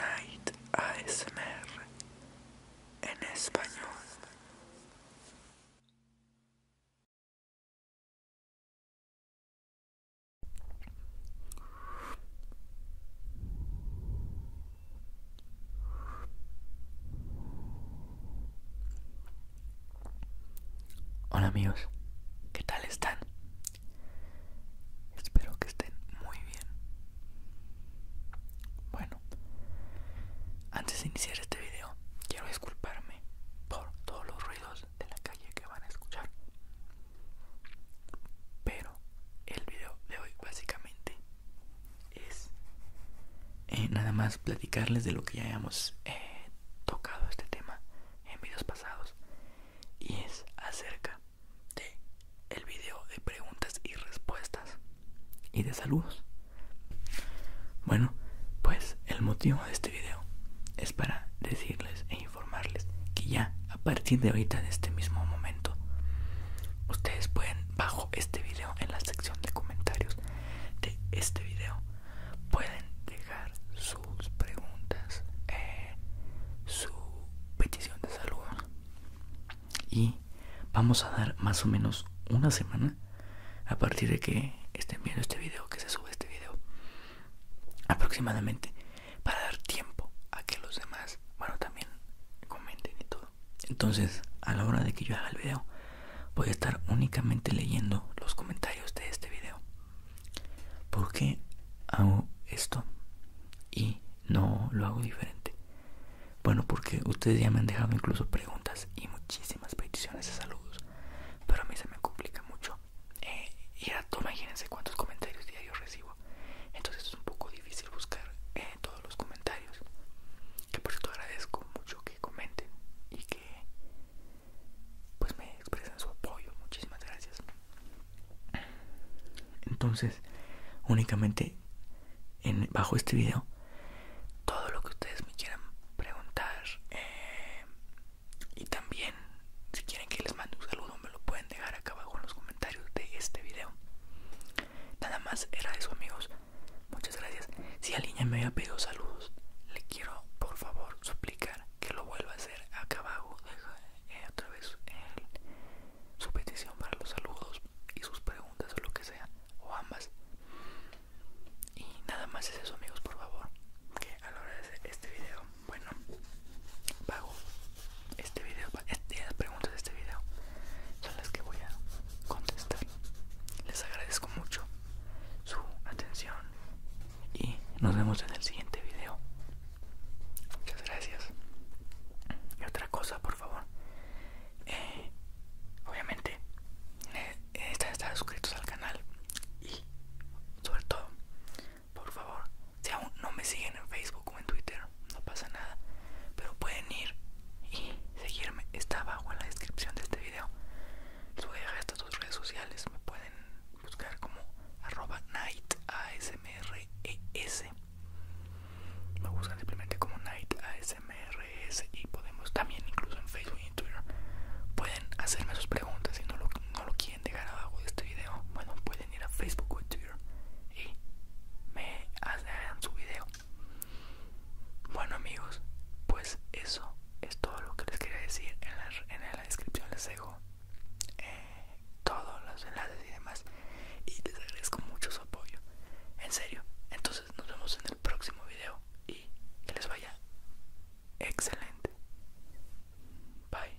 Night ASMR en español. Hola amigos, ¿qué tal están? Espero que estén muy bien. Bueno, antes de iniciar este video, quiero disculparme por todos los ruidos de la calle que van a escuchar. Pero el video de hoy básicamente es eh, nada más platicarles de lo que ya hemos eh, tocado este tema en videos pasados y es acerca de el video de preguntas y respuestas y de saludos. Bueno, pues el motivo de este video es para decirles e informarles que ya a partir de ahorita de este mismo momento ustedes pueden bajo este video en la sección de comentarios de este video pueden dejar su preguntas, eh, su petición de salud. Y vamos a dar más o menos una semana a partir de que estén viendo este video, que se sube este video. Aproximadamente para dar tiempo a que los demás, bueno, también comenten y todo. Entonces, a la hora de que yo haga el video, voy a estar únicamente leyendo los comentarios de este video. ¿Por qué hago esto y no lo hago diferente? Bueno, porque ustedes ya me han dejado incluso preguntas y muchísimas peticiones de saludos, pero a mí se me complica mucho. Eh, y ahora imagínense cuántos comentarios diarios recibo. Entonces es un poco difícil buscar eh, todos los comentarios. Que por cierto agradezco mucho que comenten y que pues me expresan su apoyo. Muchísimas gracias. Entonces, únicamente en, bajo este video, todo lo que ustedes me quieran preguntar eh, y también si quieren que les mande un saludo me lo pueden dejar acá abajo en los comentarios de este video. Nada más era eso amigos. Muchas gracias. Si alguien me había pedido saludos, le quiero por favor suplicar que lo vuelva a hacer. Acá abajo deja eh, otra vez su petición para los saludos y sus preguntas o lo que sea, o ambas. Y nada más es eso amigos, por favor. Que a la hora de hacer este video, bueno, pago este video, estas preguntas de este video son las que voy a contestar. Les agradezco mucho su atención y nos vemos en el siguiente video. Muchas gracias. Y otra cosa, por favor. Eh, obviamente, eh, están suscritos al canal y sobre todo, por favor, si aún no me siguen en Facebook o en Twitter, no pasa nada. Pero pueden ir y seguirme. Está abajo en la descripción de este video. Les voy a dejar estas dos redes sociales. Me pueden buscar como arroba night ASMRES. E Me buscan simplemente como night ASMR e y podemos también incluso en Facebook y Twitter. Pueden hacerme sus preguntas si no lo, no lo quieren dejar abajo de este video. Bueno, pueden ir a Facebook o Twitter y me hagan su video. Bueno amigos, pues eso es todo lo que les quería decir. En la, descripción les dejo eh, todos los enlaces y demás. Y les agradezco mucho su apoyo. En serio. Entonces nos vemos en el próximo video y que les vaya excelente. Bye.